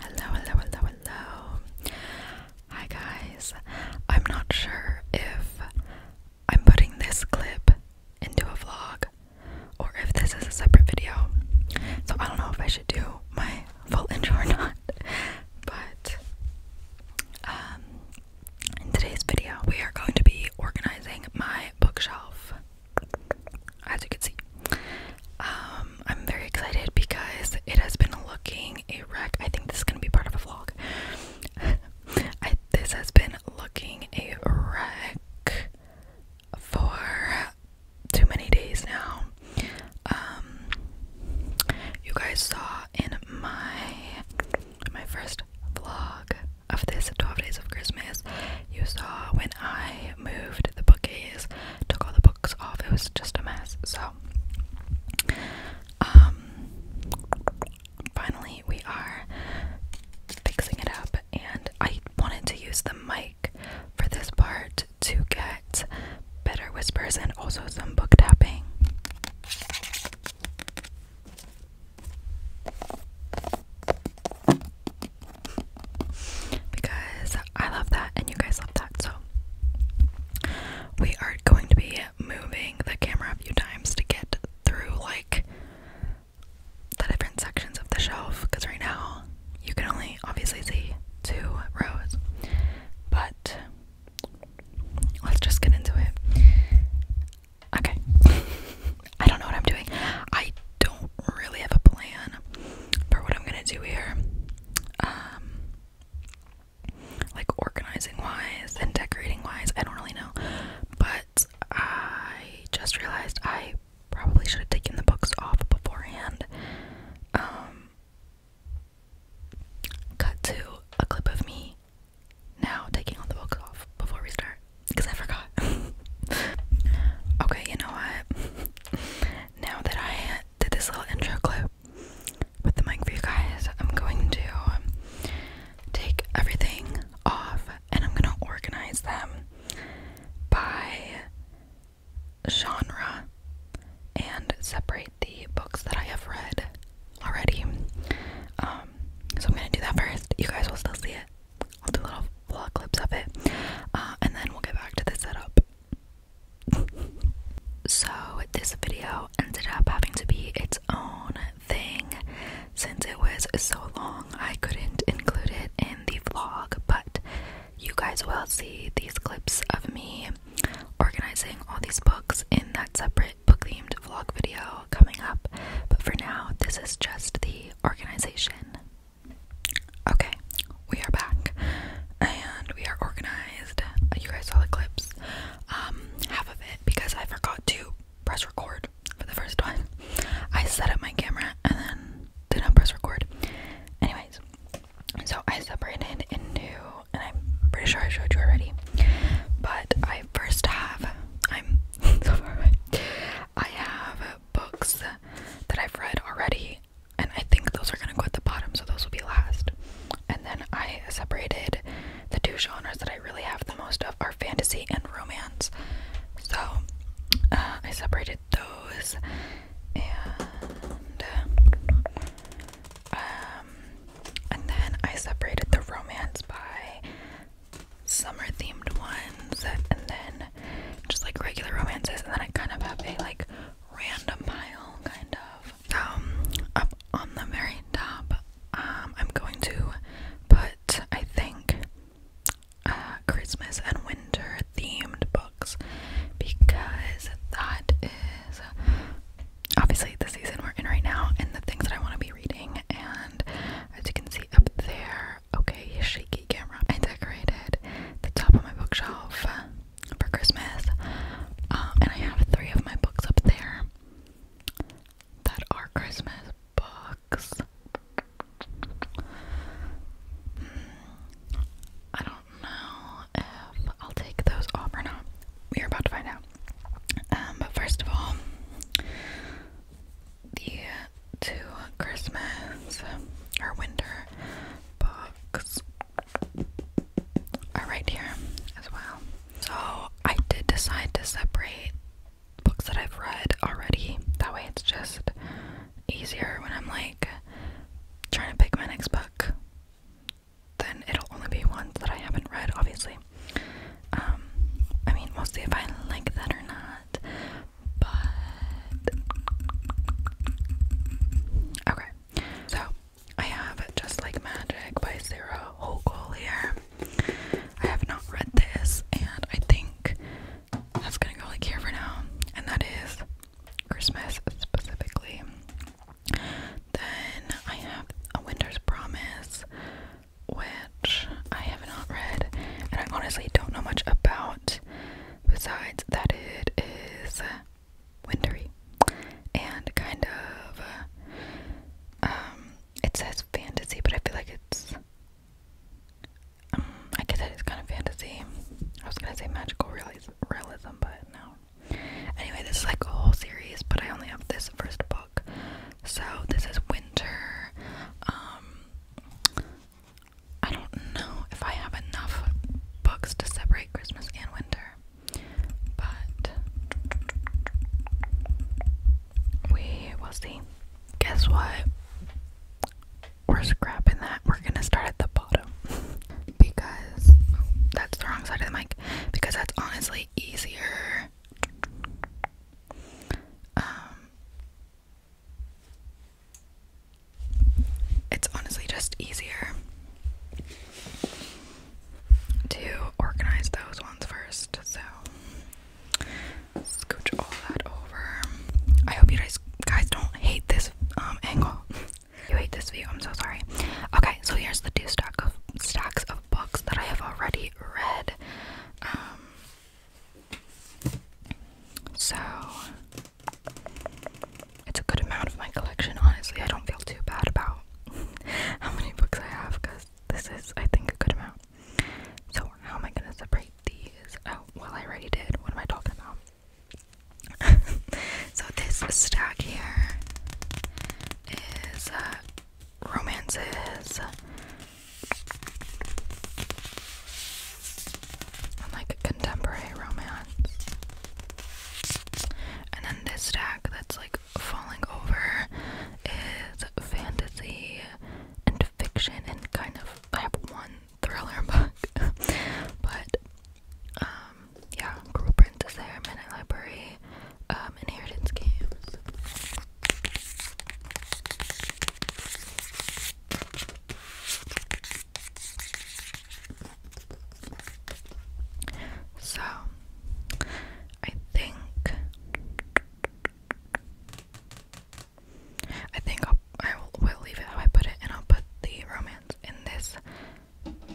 Hello, hello, hello, hello. Hi, guys. I'm not sure if I'm putting this clip into a vlog or if this is a separate video. So I don't know if I should do my full intro or not. But um, in today's video, we are going to be organizing my bookshelf as you can see. Um, I'm very excited because it has been looking a wreck. I think this is gonna be part of a vlog. this has been looking a wreck for too many days now. Um, you guys saw in my my first vlog of this 12 days of Christmas, you saw when I moved the bookcase, took all the books off. It was just a mess. So, um, finally we are fixing it up, and I wanted to use the mic for this part to get better whispers and also some book tapping because I love that and you guys love that. So, we are going to be moving the camera a few times to get through like the different sections of the shelf because right now you can only obviously see two rows. But let's just get into it. Okay. I don't know what I'm doing. I don't really have a plan for what I'm gonna do here. Um, like organizing wise and decorating wise, I don't really know. But I just realized I probably should have taken the books off beforehand. Um, cut to a clip of me now taking all the books off before we start because I forgot. okay, you know what? now that I I did this little intro clip with the mic for you guys, I'm going to take everything off and I'm going to organize them by genre and separate the books that I have read already. Um, so I'm going to do that first. You guys will still see it. I'll do little vlog clips of it. Uh, and then we'll get back to the setup so, this video ended up having to be its own thing since it was so long, I couldn't include it in the vlog. But you guys will see these clips of me organizing all these books in that separate book themed vlog video coming up. But for now, this is just the organization. Okay, we are back and we are organized. You guys saw the clips. Um, half of it because I forgot to press record for the first time. I set up my camera and then did not press record. Anyways, so I separated into, and I'm pretty sure I showed you already, but I first have, I'm so far I have books that I've read already and I think those are gonna go at the bottom, so those will be last. And then I separated the two genres that I really have the most of are fantasy and romance. So uh, I separated those, and um, and then I separated the romance by summer themed ones, and then just like regular romances, and then I kind of have a like random pile, kind of. Um, up on the very top, um, I'm going to put, I think, uh, Christmas and winter themed books because that is obviously the season we're in right now and the things that I want to be reading. And as you can see up there, okay, shaky camera, I decorated the top of my bookshelf for Christmas. Um, and I have three of my books up there that are Christmas books. I don't know if I'll take those off or not. We're about to find out. Um, but first of all, the two Christmas or winter books are right here as well. So I did decide to separate books that I've read already. That way it's just easier when I'm like trying to pick my next book. Then it'll only be one that I haven't read, obviously. Um, I mean, mostly if I like that or not. But Okay, so I have Just Like Magic by Sarah Hochul I have not read this, and I think that's gonna go like here for now, and that is Christmas specifically. Then I have A Winter's Promise, which I have not read, and I honestly don't know much about, besides that it is wintery and kind of uh, um, it says fantasy but I feel like it's um, I guess it's kind of fantasy. I was gonna say magical realism but no. Anyway this is like a whole series but I only have this first book. So this is winter um, I don't know if I have enough books to separate Christmas and winter, but we will see. Guess what? We're scrapping that. We're gonna start at the bottom because that's the wrong side of the mic because that's honestly easier. Um, it's honestly just easier to organize those ones first. So scooch all that over. I hope you guys guys don't hate this um, angle. you hate this view. I'm so sorry. Okay, so here's the two stacks of stacks of books that I have already read. Um, so it's a good amount of my collection, honestly. I don't feel too bad about how many books I have because this is, I think, a good amount. So, how am I gonna separate these out? Oh, well, I already did. What am I talking about? so, this stack here is uh, romances and like contemporary romance. And then this stack that's like falling over is fantasy and fiction and kind of I have one thriller book. but um yeah, Cruel Princess there, Midnight Library, um, Inheritance Games. So, I think I think I'll, I will leave it how I put it, and I'll put the romance in this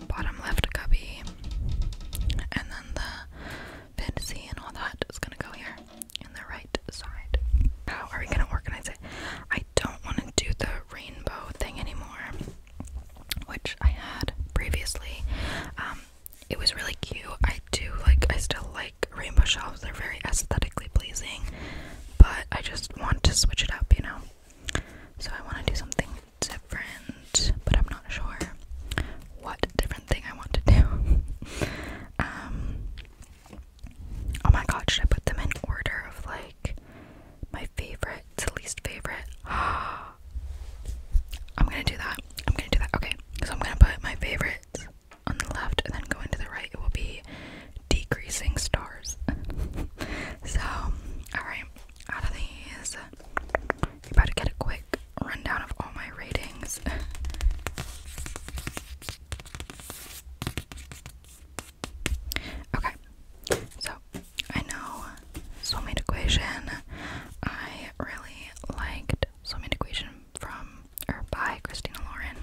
bottom left cubby, and then the fantasy and all that is gonna go here in the right side. How are we gonna organize it? I don't want to do the rainbow thing anymore, which I had previously. Um, it was really cute. I do like, I still like rainbow shelves, they're very aesthetically pleasing, but I just want to switch it up, you know? So I want to do something different, but I'm not sure what different thing I want to do. um, oh my god, should I put them in order of like my favorite to least favorite. I'm gonna do that. I'm gonna do that. Okay, so I'm gonna put my favorites on the left and then going to the right. It will be decreasing stars. so, alright, out of these, you am about to get a quick rundown of all my ratings. Okay, so I know Soulmate Equation. I really liked Soulmate Equation from or by Christina Lauren.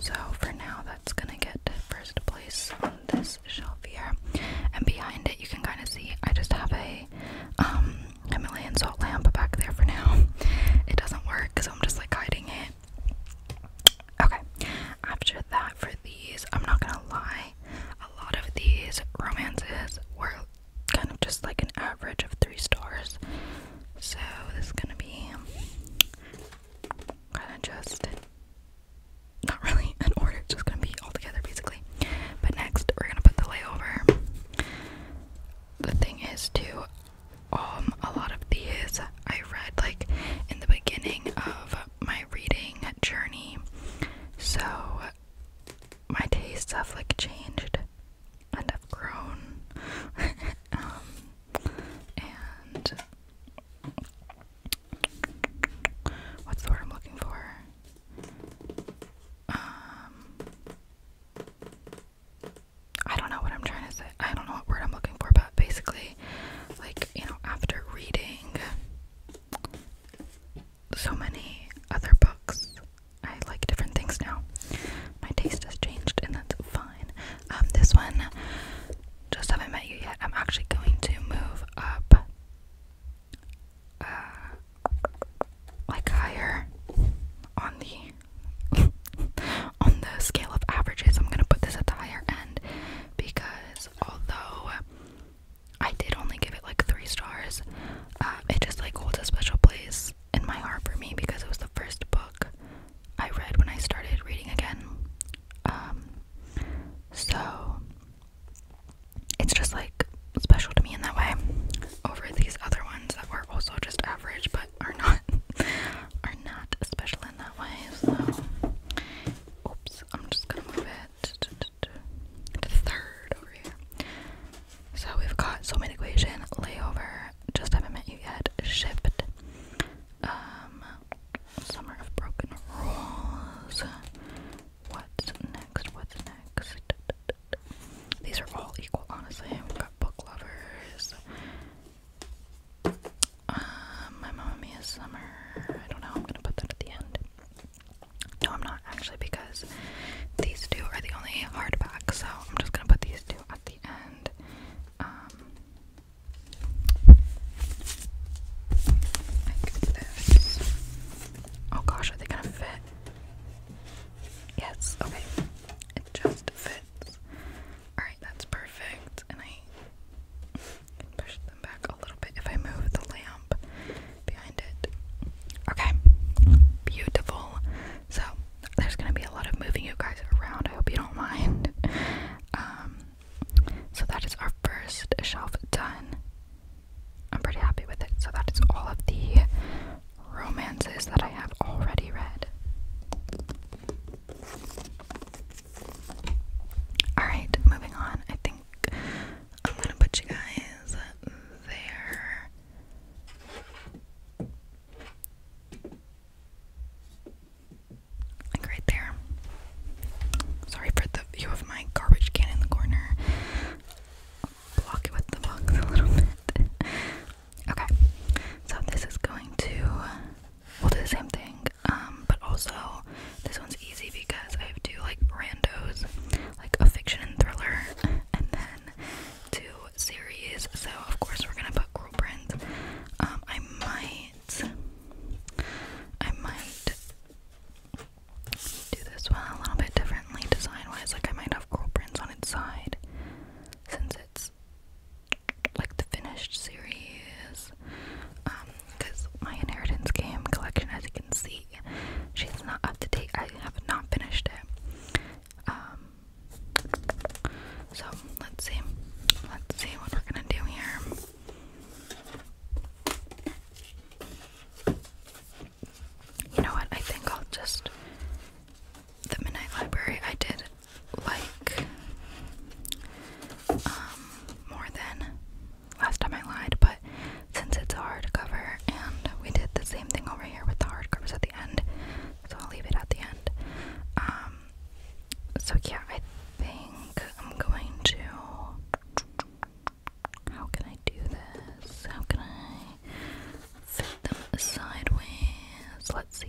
So for now, that's gonna get first place on this shelf here. And behind it, you can kind of see I just have a um, Himalayan salt lamp back there for now. It doesn't work, so I'm just like hiding it. Okay, after that, for these, I'm not gonna lie, a lot of these romances were kind of just like an average of three stars. So, this is gonna be kind of just not really an order, just gonna be all together basically. But next, we're gonna put the layover. The thing is, too, um a lot of these I read like in the beginning of my reading journey. So my tastes have like changed and have grown. um and what's the word I'm looking for? Um I don't know what I'm trying to say. I don't know what word I'm looking for, but basically, like, you know, after reading so many other books, I like different things now. My taste has changed, and that's fine. Um, this one, just haven't met you yet. I'm actually going to move up, uh, like higher on the on the scale of averages, I'm gonna put this at the higher end because although I did only give it like three stars, uh, it just like holds a special place in my heart for me because it was the first book I read when I started reading again. Um, so it's just like special to me in that way over these other ones that were also just average, but are not are not special in that way. So, oops, I'm just gonna move it to, third over here. So we've got so many equation layover. Just haven't met you yet. Shipped. Um, summer of broken rules. What's next? What's next? These are all equal, honestly. We've got book lovers. Um, my Mamma Mia Summer. I don't know. I'm gonna put that at the end. No, I'm not actually because these two are the only hardback, so I'm just gonna put these two at the end. Um, oh gosh, are they gonna fit? Yes. Okay. It just fit. Alright, that's perfect. And I push them back a little bit if I move the lamp behind it. Okay, beautiful. So, there's gonna be a lot of moving you guys around. I hope you don't mind. Um, so, that is our first shelf done. I'm pretty happy with it. So, that is all of the romances that I have already read. Alright, moving on. I think I'm gonna put you guys there. Like right there. Sorry for the view of my garbage can in the corner. i with the box a little bit. okay, so this is going to. We'll do the same thing um, but also this one's easy because I have two like randos, like a fiction and thriller, and then two series. So of course we're gonna put Cruel prints. Um, I might, I might do this one a little bit differently design-wise. Like I might have Cruel prints on its side since like the finished series. because um, my inheritance game collection, as you can see, she's not up to date. I have not finished it. Um, so let's see. Let's see what we're gonna do here. You know what? I think I'll just the midnight library I did like um, more than last time I lied, but since it's a hardcover and we did the same thing over here with the hardcovers at the end, so I'll leave it at the end. Um, so yeah, I think I'm going to how can I do this? How can I fit them sideways? Let's see.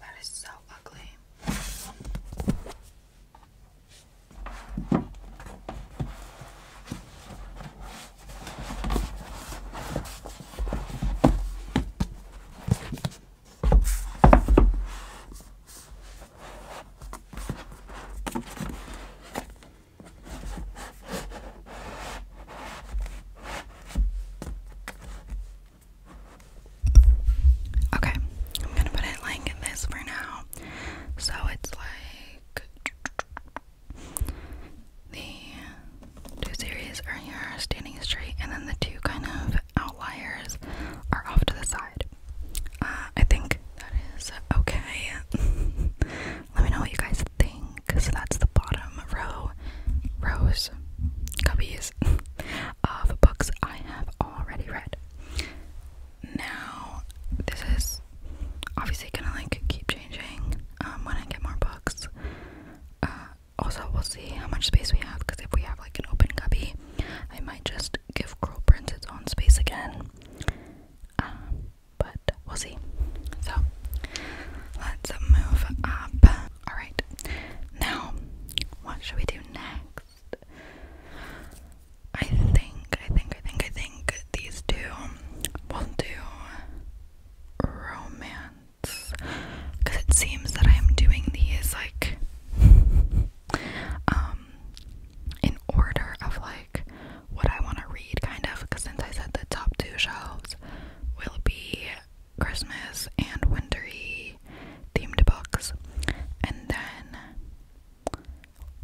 That is so ugly. Okay, I'm gonna put it like this for now. So it's like the two series are here standing straight, and then the two kind of outliers are off to the side. Uh, I think that is okay. Let me know what you guys think. So that's the bottom row, rows, cubbies of books I have already read. Now, this is obviously gonna like keep changing um, when I get more books. Uh, also, we'll see how much space we have because if we have like an open cubby, I might just give Girl Prince its own space again. Um, but we'll see. So let's move up. Alright, now what should we do next? I think, I think, I think, I think these two will do romance. Because it seems that I am doing these like. Um, um, in order of like what I want to read kind of because since I said the top two shelves will be Christmas and wintery themed books and then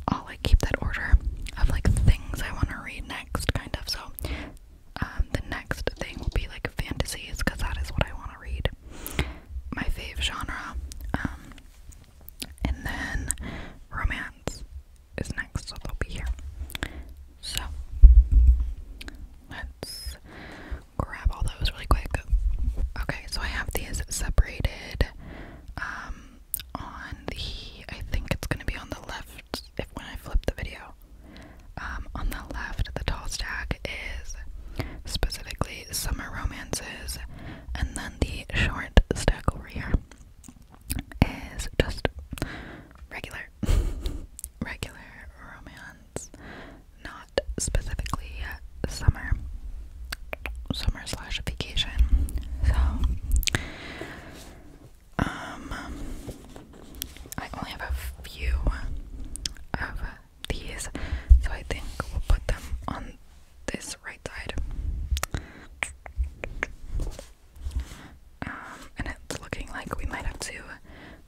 I'll like keep that order of like things I want to read next kind of so um the next thing will be like fantasies because that is what I want to read my fave genre um, and then romance is next, so they'll be here. So let's grab all those really quick. Okay, so I have these separated um on the I think it's gonna be on the left if when I flip the video. Um on the left the tall stack is specifically summer romances, and then the short stack over here is just regular, regular romance, not specifically summer, summer slash vacation. So, um, I only have a few of these, so I think we'll put them on this right side. Um, and it's looking like we might have to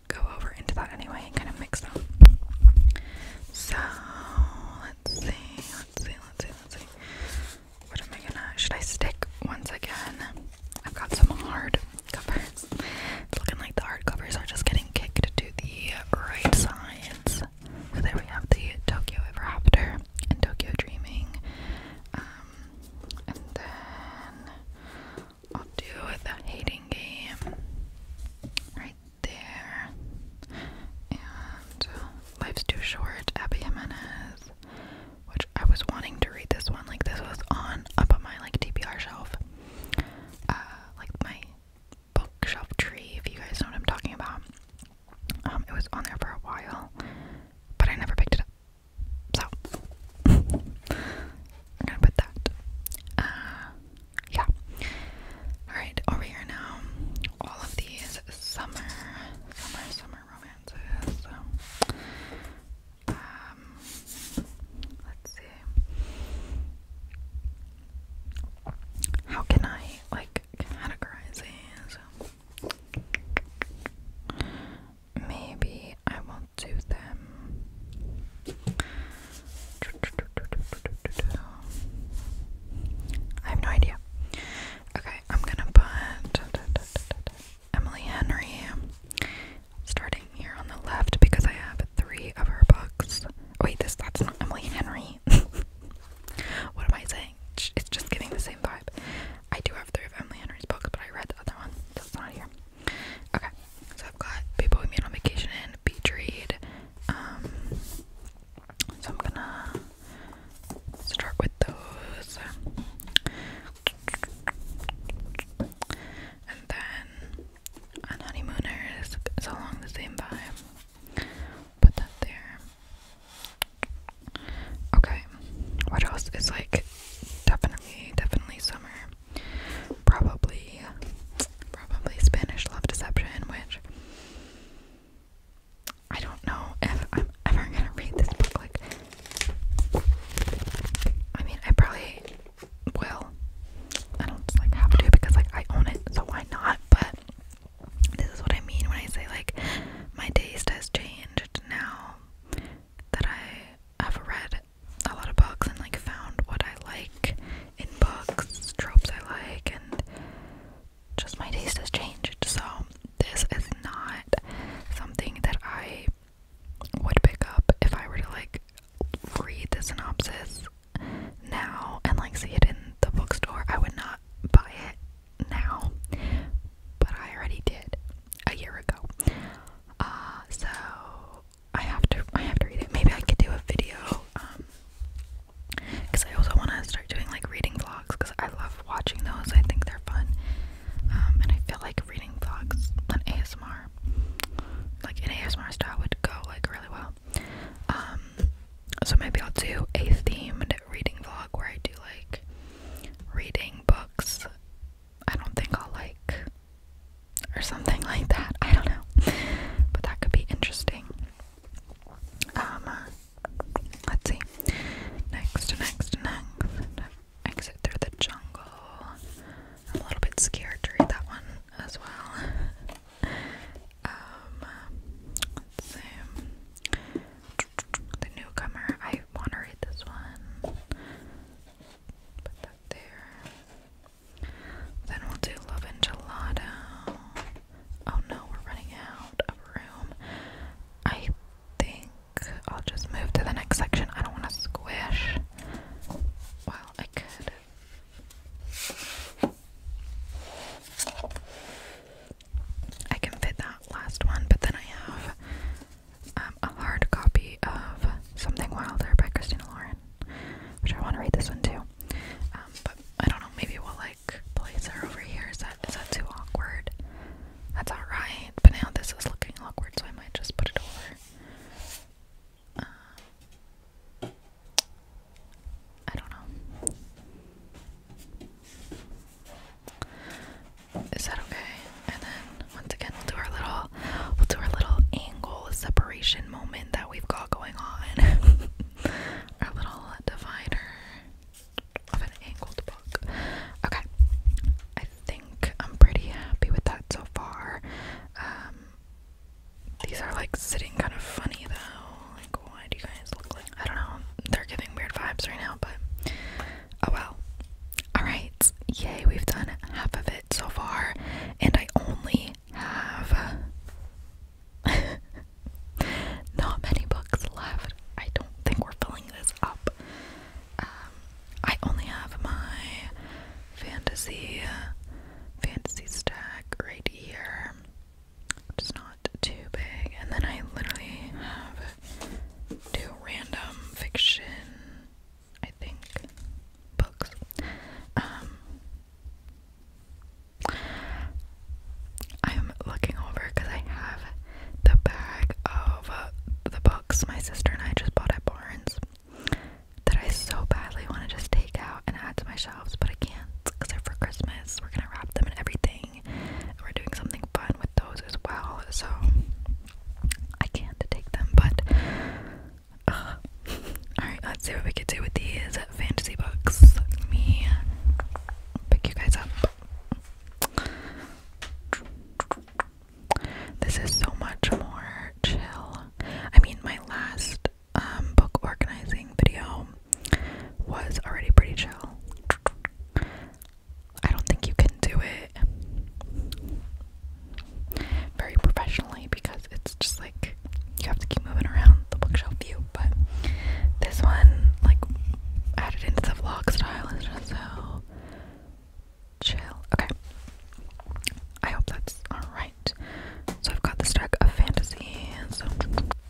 go over into that anyway kind of mix them. So let's see, let's see, let's see, let's see. What am I gonna? Should I stick once again? I've got some hard covers. It's looking like the hard covers are just getting kicked to the right sides. So there we have the Tokyo Ever After and Tokyo Dreaming. Um, and then I'll do the Hating Game right there. And Life's Too Short, Abby Jimenez, which I was wanting to read this one. Like this was on up on my like DPR shelf. Uh, like my bookshelf tree, if you guys know what I'm talking about. Um, it was on there for a while, but I never picked it up. So, I'm gonna put that. Uh, yeah. Alright, over here now, all of these summer, summer, summer romances. So, um, let's see. How can I like categorize these? Maybe I will do them. I have no idea. Okay, I'm gonna put Emily Henry starting here on the left because I have three of her books. Wait, this that's not Emily Henry. what am I saying? It's just giving the same vibe. I do have three of Emily Henry's books, but I read the other one, That's not here. Okay, so I've got People We Meet on Vacation and Beach Read. Um, so I'm gonna start with those. And then on Honeymooners, it's along the same vibe put that there. Okay, what else is like definitely, definitely summer? Probably, probably Spanish Love Deception, which I don't know if I'm ever gonna read this book. Like, I mean, I probably will. I don't like have to because like I own it, so why not? But this is what I mean when I say, like, my taste has changed now that I have read a lot of books and, like, found what I like in books, tropes I like, and just my taste has changed. So, this is not something that I would pick up if I were to, like, read the synopsis now and like see it in the bookstore, I would not buy it now. But I already did a year ago. Uh so I have to I have to read it. Maybe I could do a video um cuz I also want to start doing like reading vlogs cuz I love watching those. I think they're fun. Um and I feel like reading vlogs on ASMR like an ASMR style would go like really well. Um so maybe I'll do a themed reading vlog where I do like reading books. I don't think I'll like or something like that. I don't know. But that could be interesting. Um let's see. Next, next, next. Exit through the jungle. I'm a little bit scared to read that one as well. Um, The newcomer. I want to read this one. Put that there. Then we'll do Love and Gelato. Oh no, we're running out of room. I think I'll just move to the next section. I don't want to squish. Well, I could I can fit that last one, but then I have um, a hard copy of Something Wilder by Christina Lauren, which I want to read this one too. Um, but I don't know, maybe we'll like place her over here. Is that is that too awkward? That's alright, but now this is looking awkward, so I might just put it over. Uh, I don't know. Is that okay? And then once again we'll do our little we'll do our little angle separation moment that we've got going on. our little divider of an angled book. Okay. I think I'm pretty happy with that so far. Um, these are like sitting kind of funny though. Like, why do you guys look like? I don't know. They're giving weird vibes right now, but oh well. Alright, yay, we've done half of it so far, and I only have not many books left. I don't think we're filling this up. Um, I only have my fantasy fantasy stack right here which not too big. And then I literally have two random fiction, I think, books. Um, I'm looking over because I have the bag of uh, the books my sister and I just bought at Barnes that I so badly want to just take out and add to my shelf but I can't because for Christmas. We're gonna wrap them and everything, and we're doing something fun with those as well. So I can't take them, but uh, all right, let's see what we could do with these fantasy books. me pick you guys up. This is so much more chill. I mean, my last um, book organizing video was already pretty chill. I don't think you can do it very professionally because it's just like you have to keep moving around the bookshelf view. But this one, like, added into the vlog style is just so chill. Okay. I hope that's alright. So I've got the stack of fantasies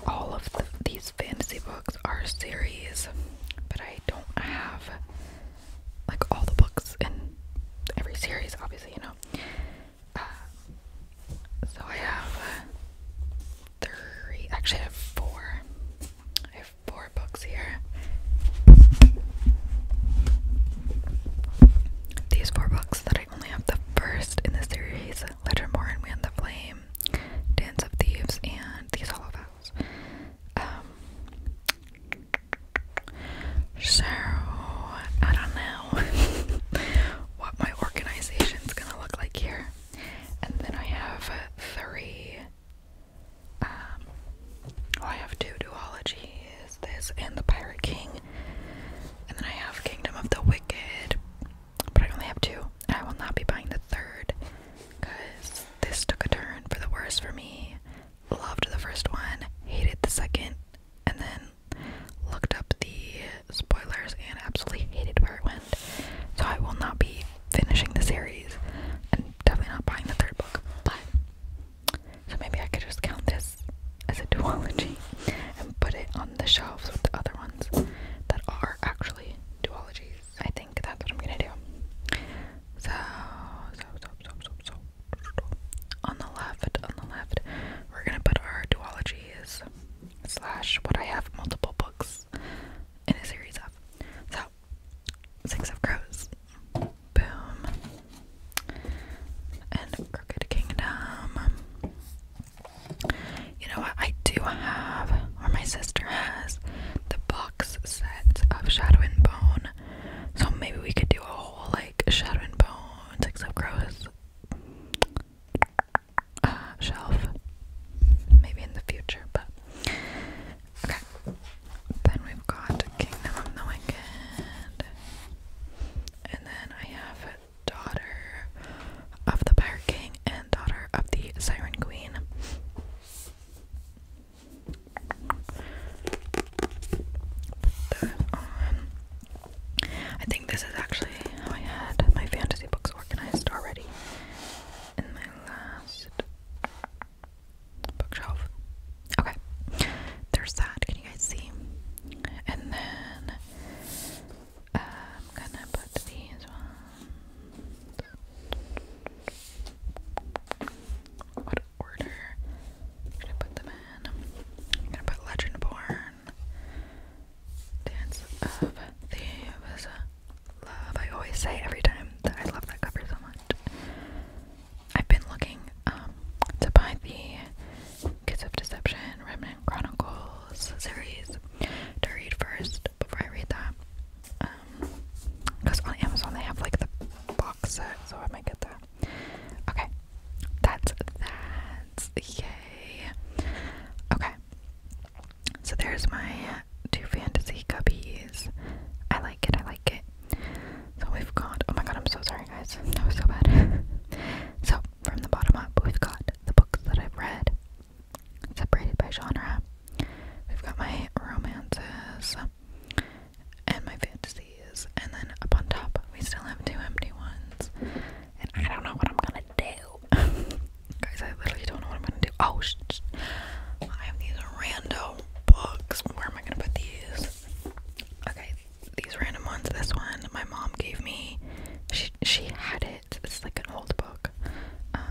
all of these fantasy books are series, but I don't have like all the books in every series, obviously, you know. Uh, so I have uh, three, actually, I have four. I have four books here. These four books that I only have the first in the series Lettermore and Man the Flame, Dance of Thieves, and These Hollow Vows. Um, so, I don't know what my organization's gonna look like here. And then I have three, um, I have two duology. Is this and the Pirate King. And then I have Kingdom of the Wicked, but I only have two. I will not be buying the third because this took a turn for the worse for me. Loved the first one, hated the second, and then looked up the spoilers and absolutely hated where it went. So I will not be finishing the series and definitely not buying the third book. But so maybe I could just count this as a duology and put it on the shelves with the other one ones that are actually duologies. I think that's what I'm gonna do. So, so, so, so, so, so. On the left, on the left, we're gonna put our duologies slash what I have multiple books in a series of. So, Six of Crows. Boom. And Crooked Kingdom. You know what? I do have, or my sister has, the box set of Shadow and Bone. So maybe we could do a whole like Shadow and Bone, except of Crows uh, shelf. Maybe in the future, but. Okay. Then we've got Kingdom of the Wicked. And then I have daughter of the Pirate King and daughter of the Siren Queen. I think this is actually how I had my fantasy books organized already in my last bookshelf. Okay, there's that. Can you guys see? And then I'm gonna put these ones. What order should I put them in? I'm gonna put Legend Dance of Thieves, Love. I always say every time that I love that cover so much. I've been looking um, to buy the Kids of Deception Remnant, Chronicles series to read first before I read that. because um, on Amazon they have like the box so I might get that. Okay, that's that. Yay. Okay, so there's my two fantasy cubbies. I like it, I like it. So we've got, oh my god, I'm so sorry guys, that was so bad. so, from the bottom up, we've got the books that I've read, separated by genre. We've got my romances and my fantasies, and then up on top, we still have two empty ones. And I don't know what I'm gonna do. Guys, I literally don't know what I'm gonna do. Oh, I have these random books. Where am I gonna put these? Okay, these random ones. This one my mom gave me. She she had it it's like an old book. Um,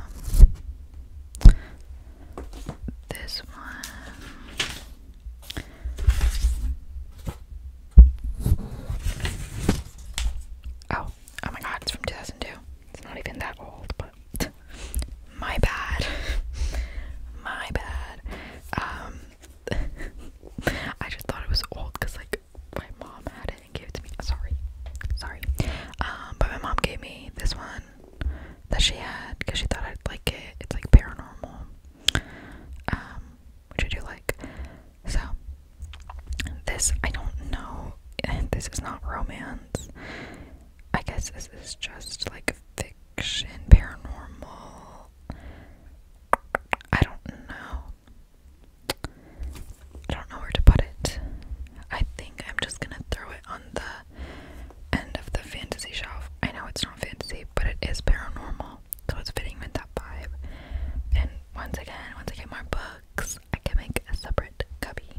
this one. Oh, oh my god, it's from 2002. It's not even that old, but my bad. my bad. Um, I just thought it was old because, like, my mom had didn't it to me. Sorry, sorry. Um, but my mom gave me this one that she had because she thought I'd like it. It's like paranormal, um, which I do like. So this I don't know. This is not romance. I guess this is just like fiction, paranormal. I don't know. I don't know where to put it. I think I'm just gonna throw it on the end of the fantasy shelf. I know it's not fantasy, but it is paranormal, so it's fitting with that vibe. And once again, once I get more books, I can make a separate cubby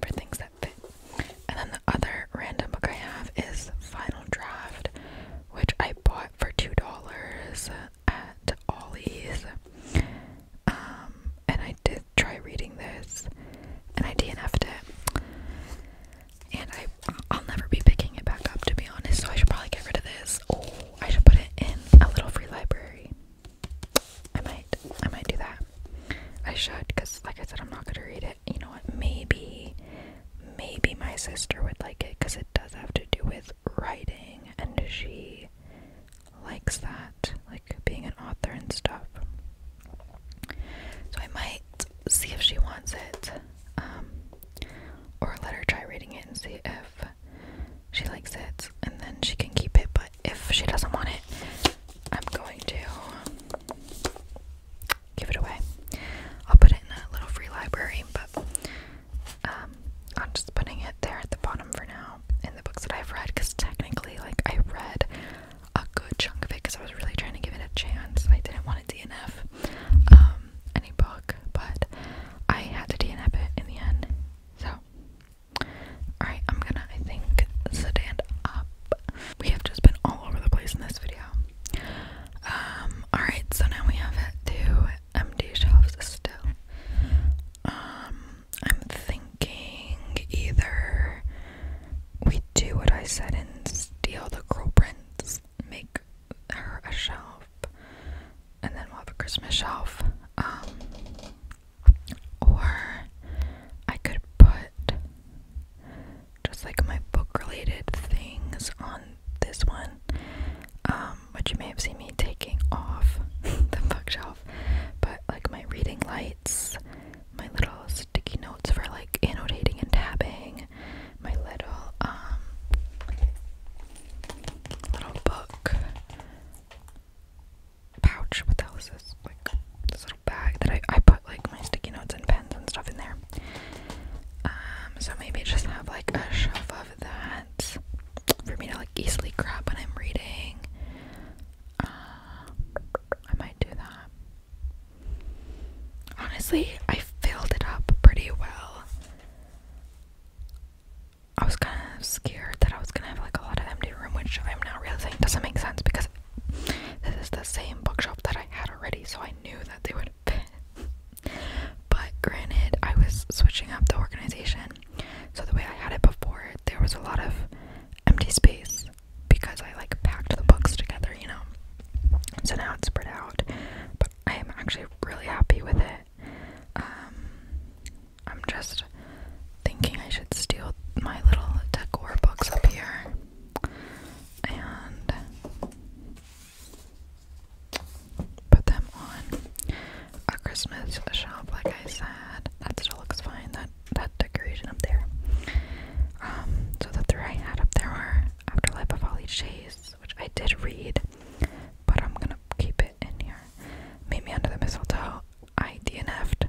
for things that fit. And then the other random book I have is Final Draft, which I bought for $2 at Ollie's. Um, and I did try reading this, and I DNF'd it. And I, I'll never be picking it back up, to be honest, so I should probably get rid of this. Oh, I should put it in a little free library. I might, I might do that. I should, because like I said, I'm not gonna read it. You know what, maybe, maybe my sister would like it, because it does have to do with writing, and she likes that, like being an author and stuff. So I might see if she wants it, um, or let her try reading it and see if she likes it, and then she can keep it. But if she doesn't want it, I'm going to give it away. I'll put it in a little free library, but um, I'm just putting it there at the bottom for now in the books that I've read because technically, like, I read a good chunk of it because I was really trying to give it a chance. I didn't want to DNF um, any book, but I had to DNF it in the end. So, alright, I'm gonna, I think, stand up. We have just been all over the place in this video. Um, alright, so now we have it to empty shelves still. Um, I'm thinking either we do what I said and steal the girl prints, make her a shelf, and then we'll have a Christmas shelf. Um, or I could put just like my book related things on this one. Um, um, which you may have seen me taking off the bookshelf, but like my reading lights, my little sticky notes for like annotating and tabbing, my little um little book pouch. What the hell is this? Like this little bag that I, I put like my sticky notes and pens and stuff in there. Um, so maybe just have like a shelf of that for me to like easily grab when I'm reading. Uh, I might do that. Honestly, I filled it up pretty well. I was kind of scared that I was gonna have like a lot of empty room, which I'm now realizing doesn't make sense because this is the same bookshop that I had already, so I knew that they would fit. but granted, I was switching up the organization so the way I had it before, there was a lot of empty space because I like packed the books together, you know. So now it's spread out, but I am actually really happy with it. Um, I'm just thinking I should steal my little decor books up here and put them on a Christmas shop, like I said. That still looks fine, that, that decoration up there. Um, so the three I had up there are Afterlife of Holly Chase, which I did read, but I'm gonna keep it in here. Meet Me Under the Mistletoe, I DNF'd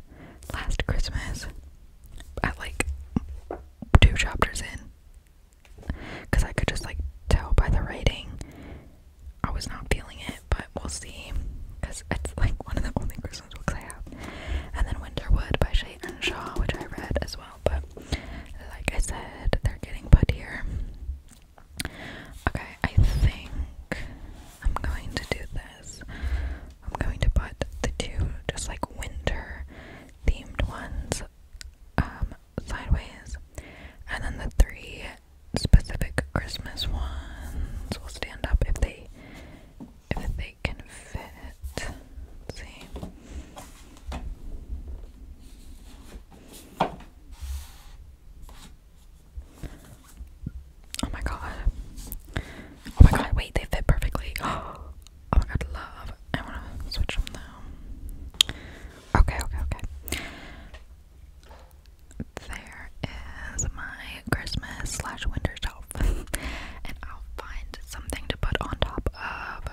last Christmas at like two chapters in. Because I could just like tell by the writing I was not feeling it, but we'll see. Because it's like one of the only Christmas books I have. And then Winterwood by Shay and Shaw, which I read as well. But like I said, they're getting put here. Okay, I think I'm going to do this. I'm going to put the two just like winter themed ones um, sideways. And then the three specific Christmas ones will stand up if they if they can fit see. Oh my god. Oh my god, wait, they fit perfectly. Oh my god, love. I wanna switch them though. Okay, okay, okay. There is my Christmas slash winter shelf. and I'll find something to put on top of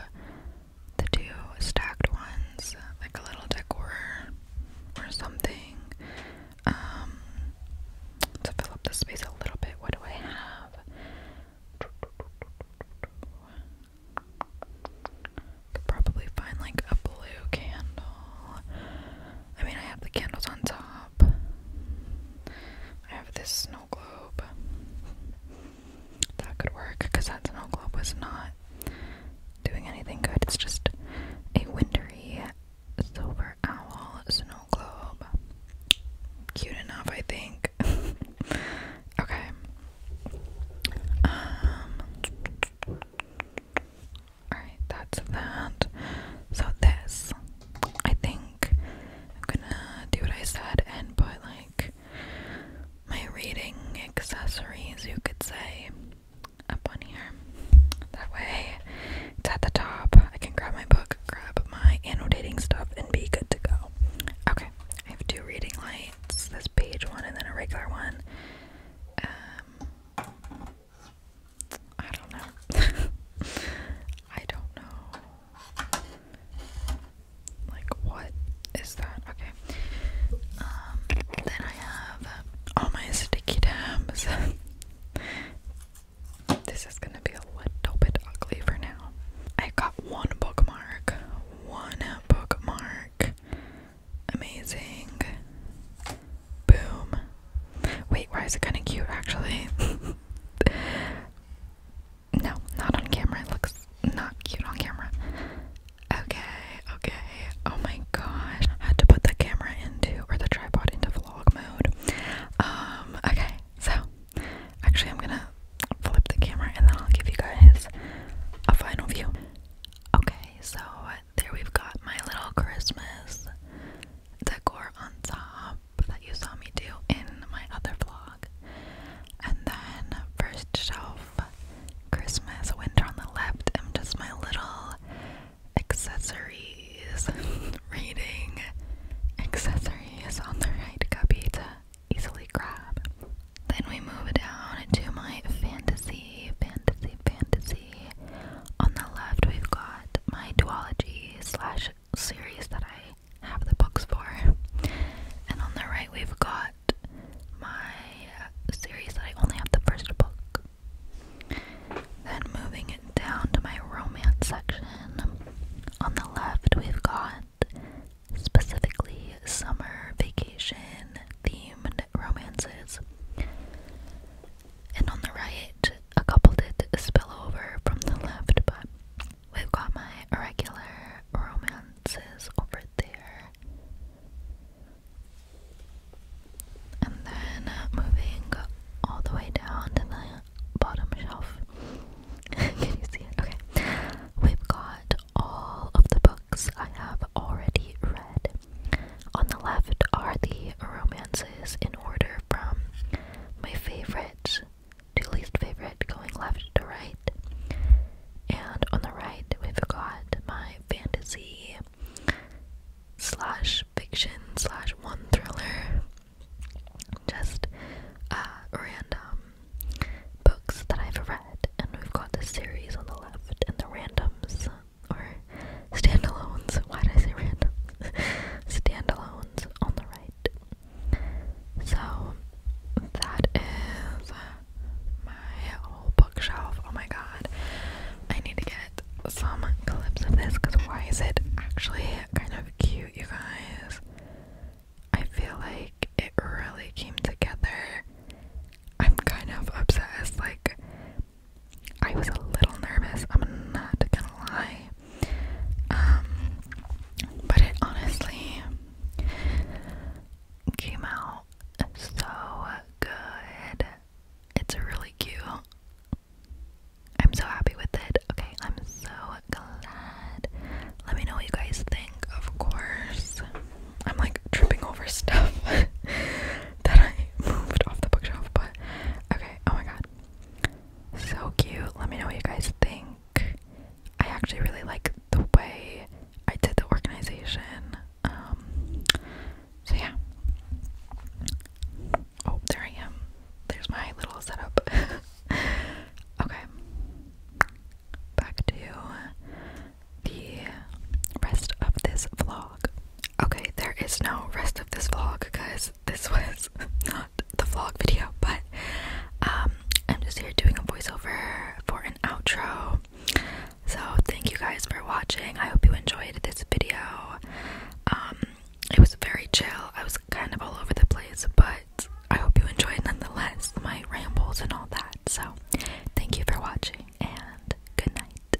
the two stacked ones, like a little decor or something. Um to fill up the space a little bit. What do I have? Could probably find like a blue candle. I mean, I have the candles on top. I have this snow globe. That could work because that snow globe was not doing anything good. It's just a wintry silver owl snow globe. Cute enough, I think. okay. Um, Alright, that's that. So this, I think I'm gonna do what I said and put like my reading accessories, you could say, up on here. That way it's at the top. I can grab my book, grab my annotating stuff, and be good to go. Okay, I have two reading lights, this page one and then a regular one. Um, I don't know. I don't know. Like, what is that? Okay. Um, then I have all my sticky tabs. this is gonna be a little bit ugly for now. I got one bookmark. One bookmark. Amazing. Boom. Wait, why is it kind of cute actually? no, not on camera. It looks not cute on camera. Okay, okay. Oh my gosh. I had to put the camera into, or the tripod into vlog mode. Um, okay, so actually, I'm gonna flip the camera and then I'll give you guys a final view. Okay, so there we've got my little Christmas decor on top that you saw me do in my other vlog. And then first shelf Christmas winter on the left and just my little accessories reading accessories on the right cubby to easily grab. Then we move down to my fantasy, fantasy, fantasy on the left we've got my duology slash series that I have the books for, and on the right we've got my series that I only have the first book. Then moving it down to my romance section, on the left we've got specifically summer vacation themed romances. And on the right, a couple did spill over from the left, but we've got my irregular romances over there. And then uh, moving all the way down to the bottom shelf. Can you see it? Okay. We've got all of the books I have already read. On the left are the romances in order from my favorite to least favorite, going left to right. And on the right, we've got my fantasy slash fiction slash one thriller. Just uh, random books that I've read, and we've got the series on the left and the randoms or standalones. Why did I say random? standalones on the right. So that is my whole bookshelf. Oh my god. I need to get some clips of this because why is it actually kind of cute, you guys? I feel like it really came together. I'm kind of obsessed. Like, I was a little nervous, I'm not gonna lie. Um, but it honestly came out so good. It's really cute. I'm so happy with it. Okay, I'm so glad. Let me know what you guys think, of course. I'm like tripping over stuff that I moved off the bookshelf, but Okay, oh my god. So cute. Let me know what you guys think. I actually really like the way I did the organization. Um, so yeah. Oh, there I am. There's my little setup. okay. Back to the rest of this vlog. Okay, there is no rest of this vlog because this was not the vlog video, but um, I'm just here doing a voiceover for an outro. So, thank you guys for watching. I hope you enjoyed this video. Um, it was very chill, I was kind of all over the place, but I hope you enjoyed nonetheless my rambles and all that. So, thank you for watching and good night.